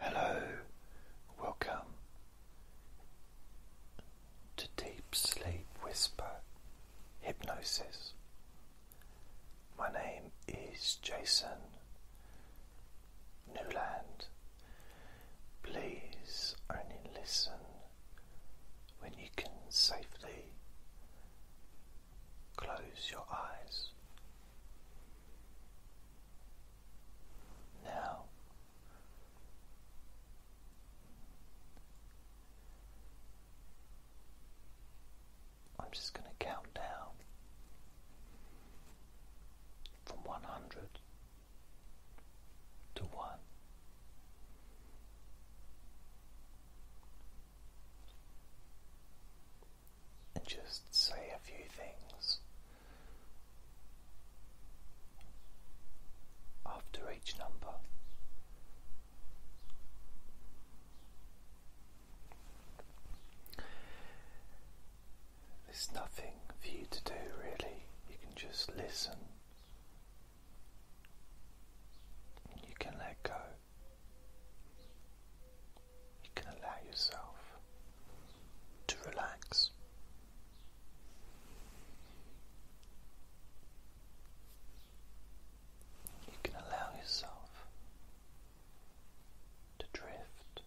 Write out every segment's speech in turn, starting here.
Hello, welcome to Deep Sleep Whisper Hypnosis. My name is Jason Newland. Please only listen when you can safely close your eyes. Now, I'm just going to count down from one hundred to one and just say a few things. After each number, there's nothing for you to do really, you can just listen you can let go you can allow yourself to relax. You can allow yourself to drift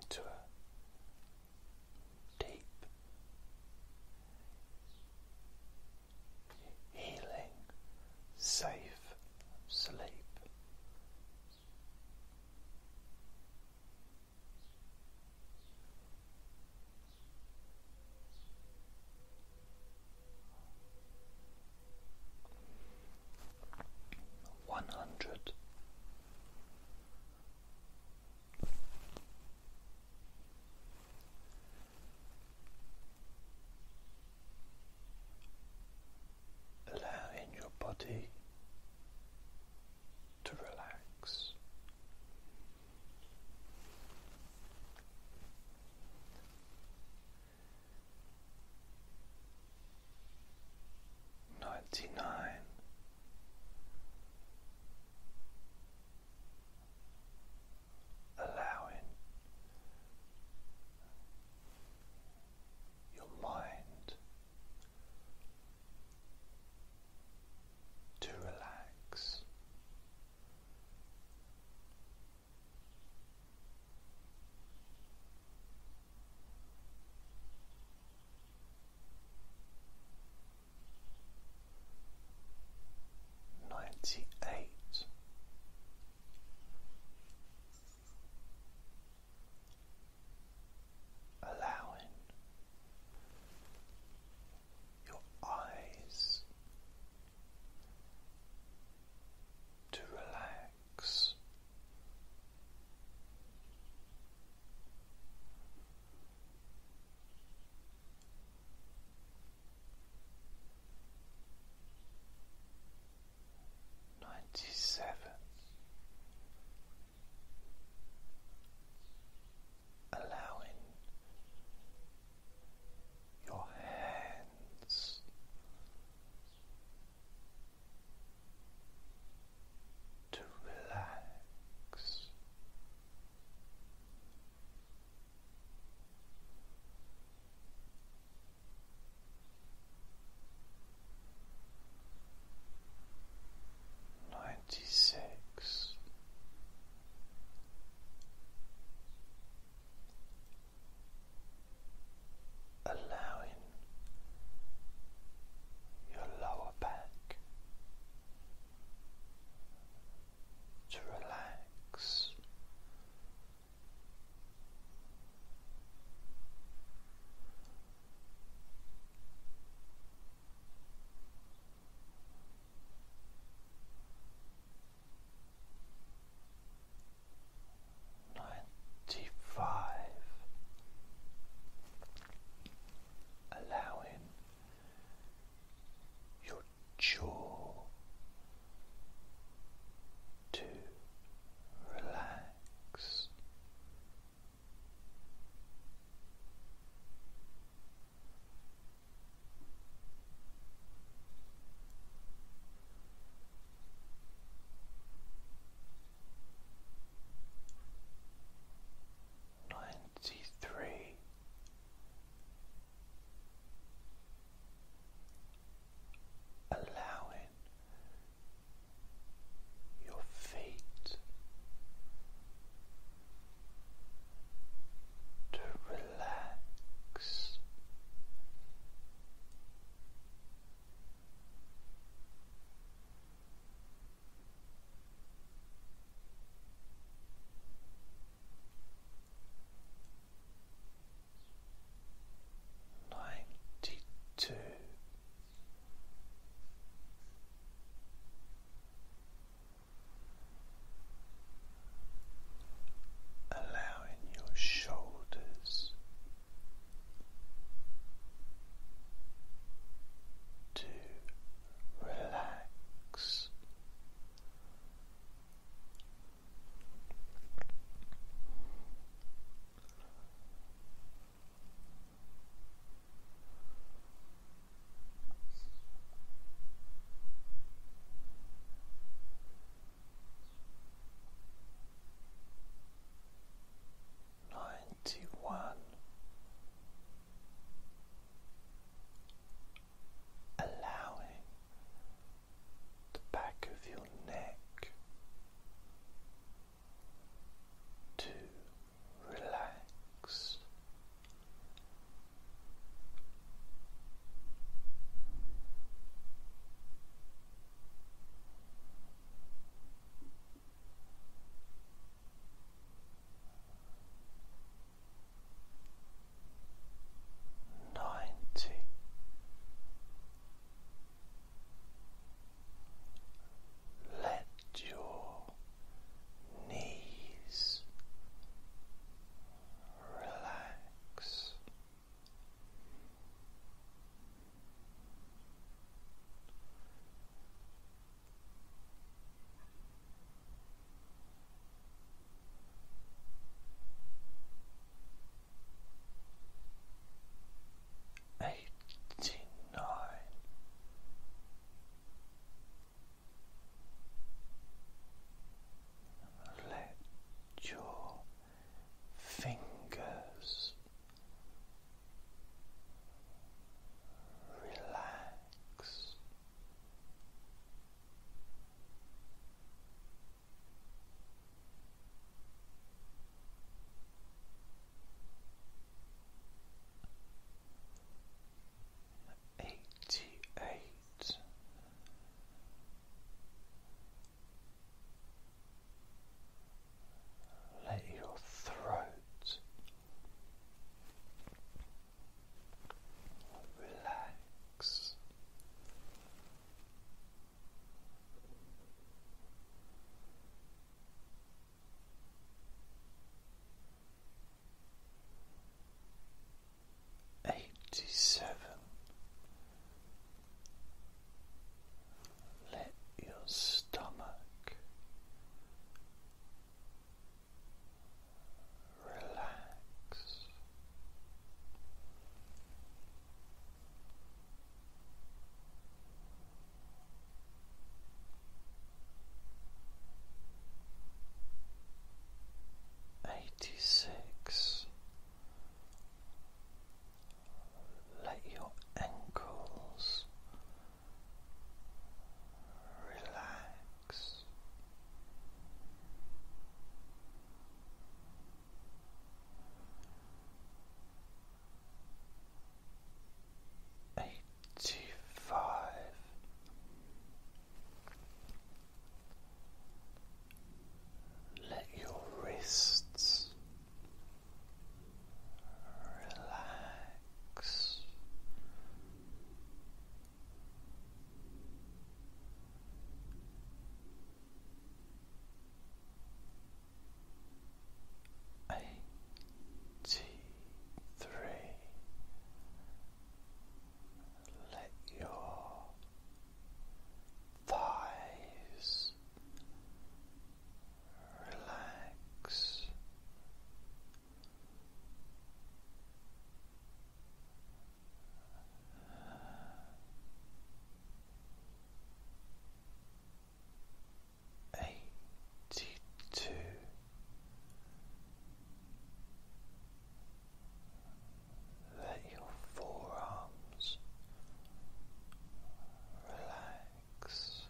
into a deep healing, safe sleep. One hundred allowing your body to relax. Ninety nine allowing your mind to relax ninety eight. Allowing your eyes to relax, ninety seven allowing your hands to relax Ninety six, allowing your lower back to relax. Ninety five, allowing your jaw to relax. Ninety three allowing your feet to relax ninety two. Allowing your shoulders to relax Ninety one allowing the back of your neck to relax ninety let your knees relax Eighty nine. Let your fingers relax. Eighty eight. Let your throat Relax. Eighty seven. Let your stomach relax. Eighty six. Let your ankles relax. Eighty five. Let your wrists relax. Eighty three. Let your thighs relax Eighty two. Let your forearms relax relax.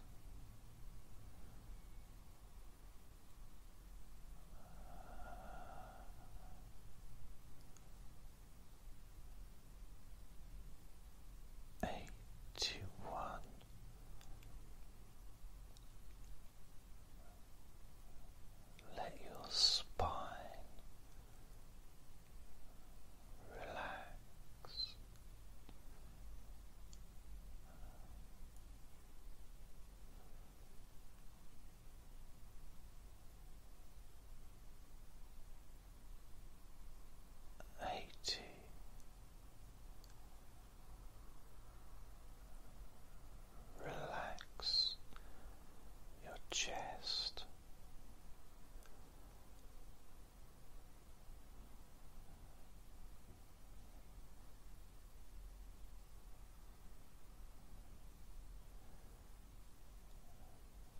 Let your spine relax. Eighty. Relax your chest,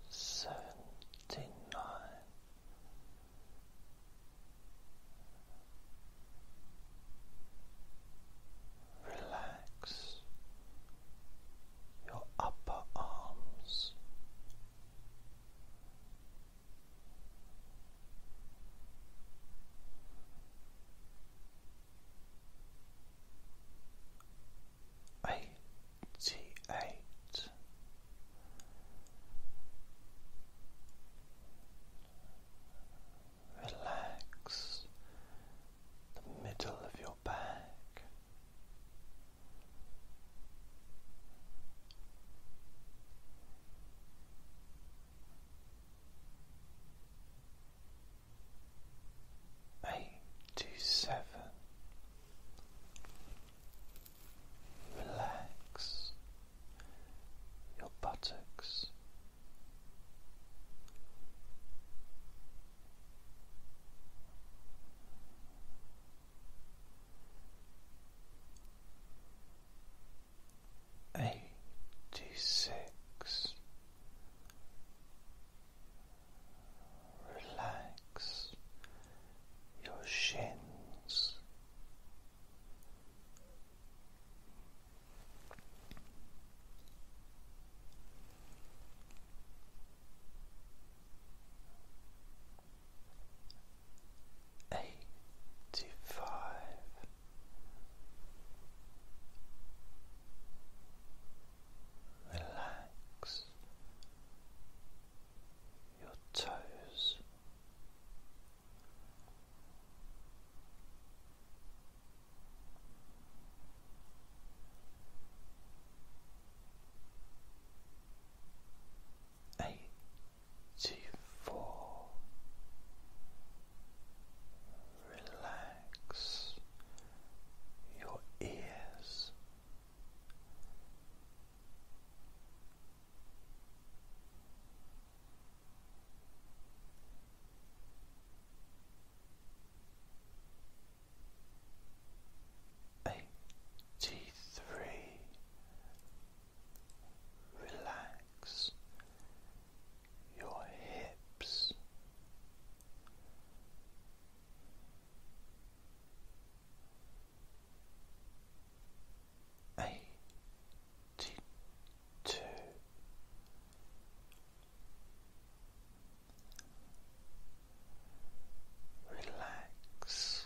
Seventy nine. Relax your upper arms, Eighty eight. Relax the middle of your back, Eight, two, seven. Relax your buttocks eighty six relax your shins eighty five. Relax your toes. Eight Four relax your ears eighty three. Relax your hips. Eighty two. Relax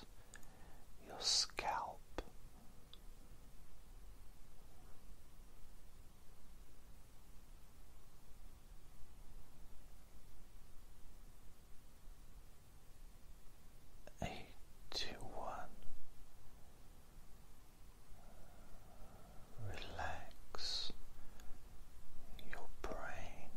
your scalp. Eighty one. Relax your brain.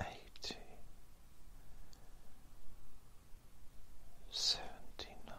Eighty seventy nine.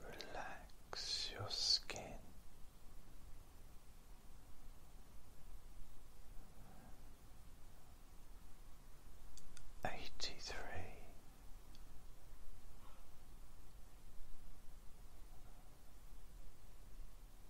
Relax your skin. Eighty three.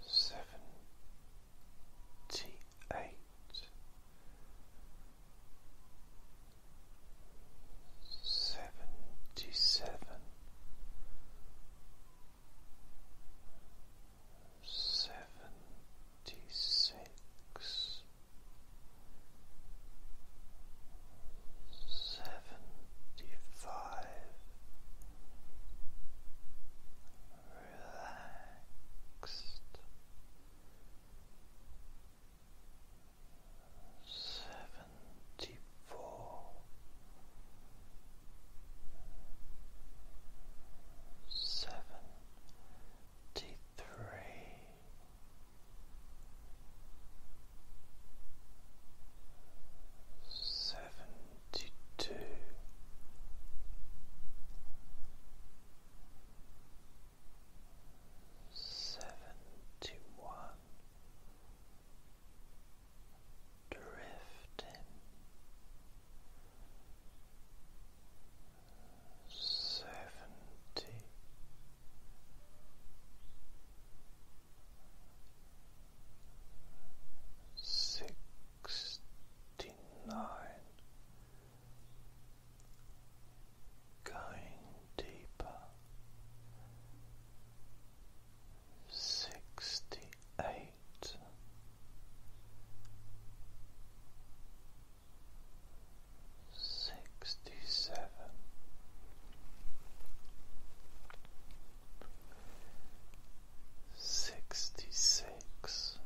seventy eight, seventy seven, seventy six seventy five relaxed seventy four seventy three seventy two. drifting seventy sixty nine going deeper sixty eight sixty seven. Sixty six,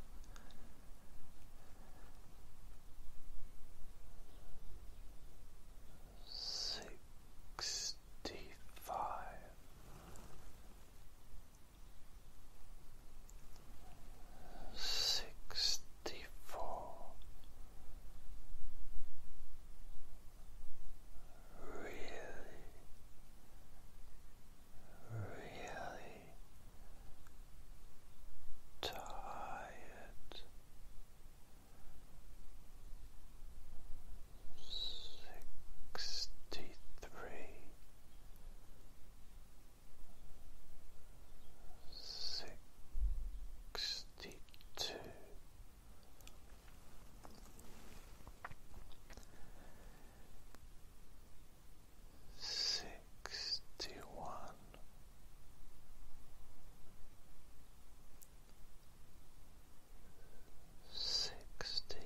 sixty five, sixty Sixty-four really, really tired sixty-three sixty sixty two. Sixty one, sixty,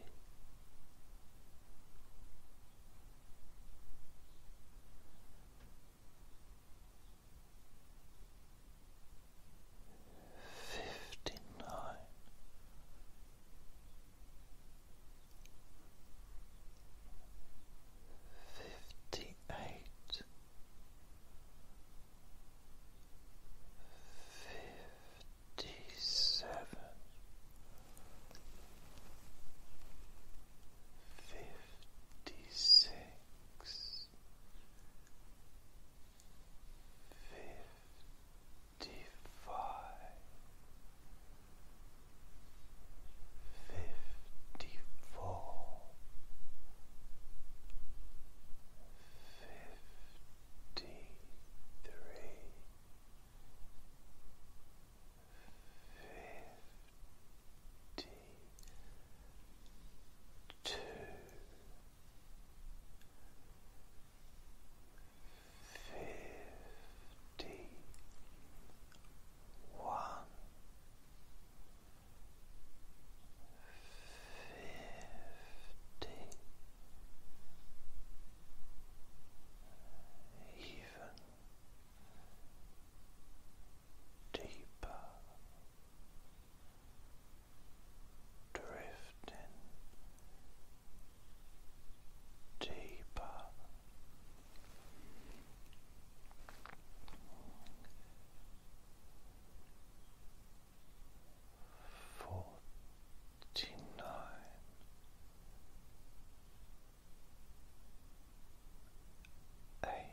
fifty nine fifty eight fifty seven fifty six fifty-five, fifty-four, fifty-three, fifty two, fifty one. Fifty, even deeper, drifting deeper. Forty nine. Eighty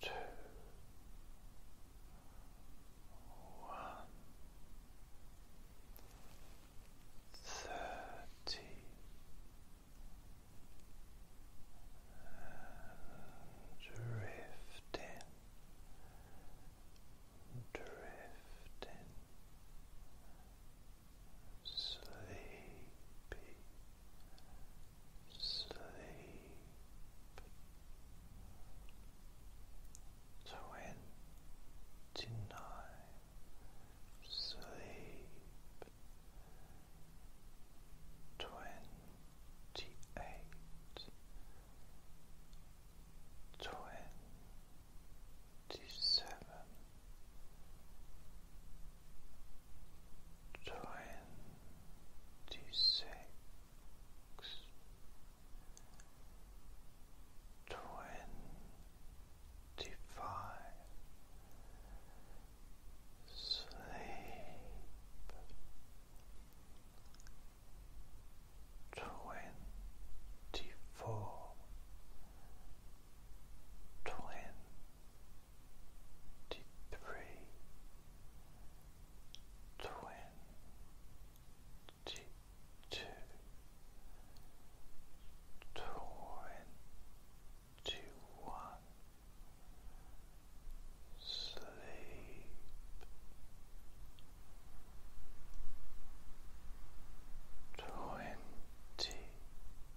two, one, thirty. Drifting, drifting, sleepy, sleep. Twenty-nine, sleep. Twenty-eight, twenty-seven, twenty six, twenty five, sleep twenty four, twenty three twenty two twenty one sleep Twenty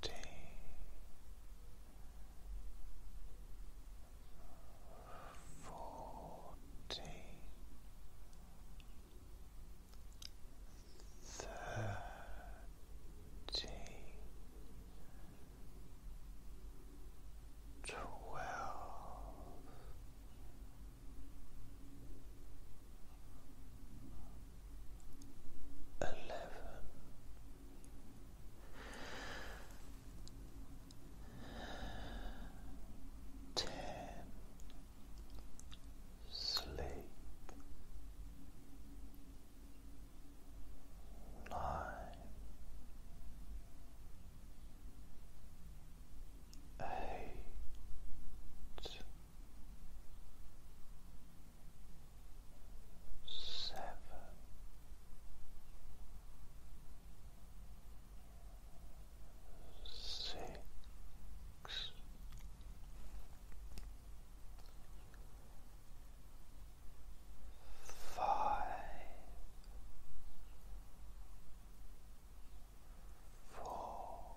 fifteen. Fourteen, thirteen, twelve, eleven. Ten sleep nine eight seven. Six, five, four,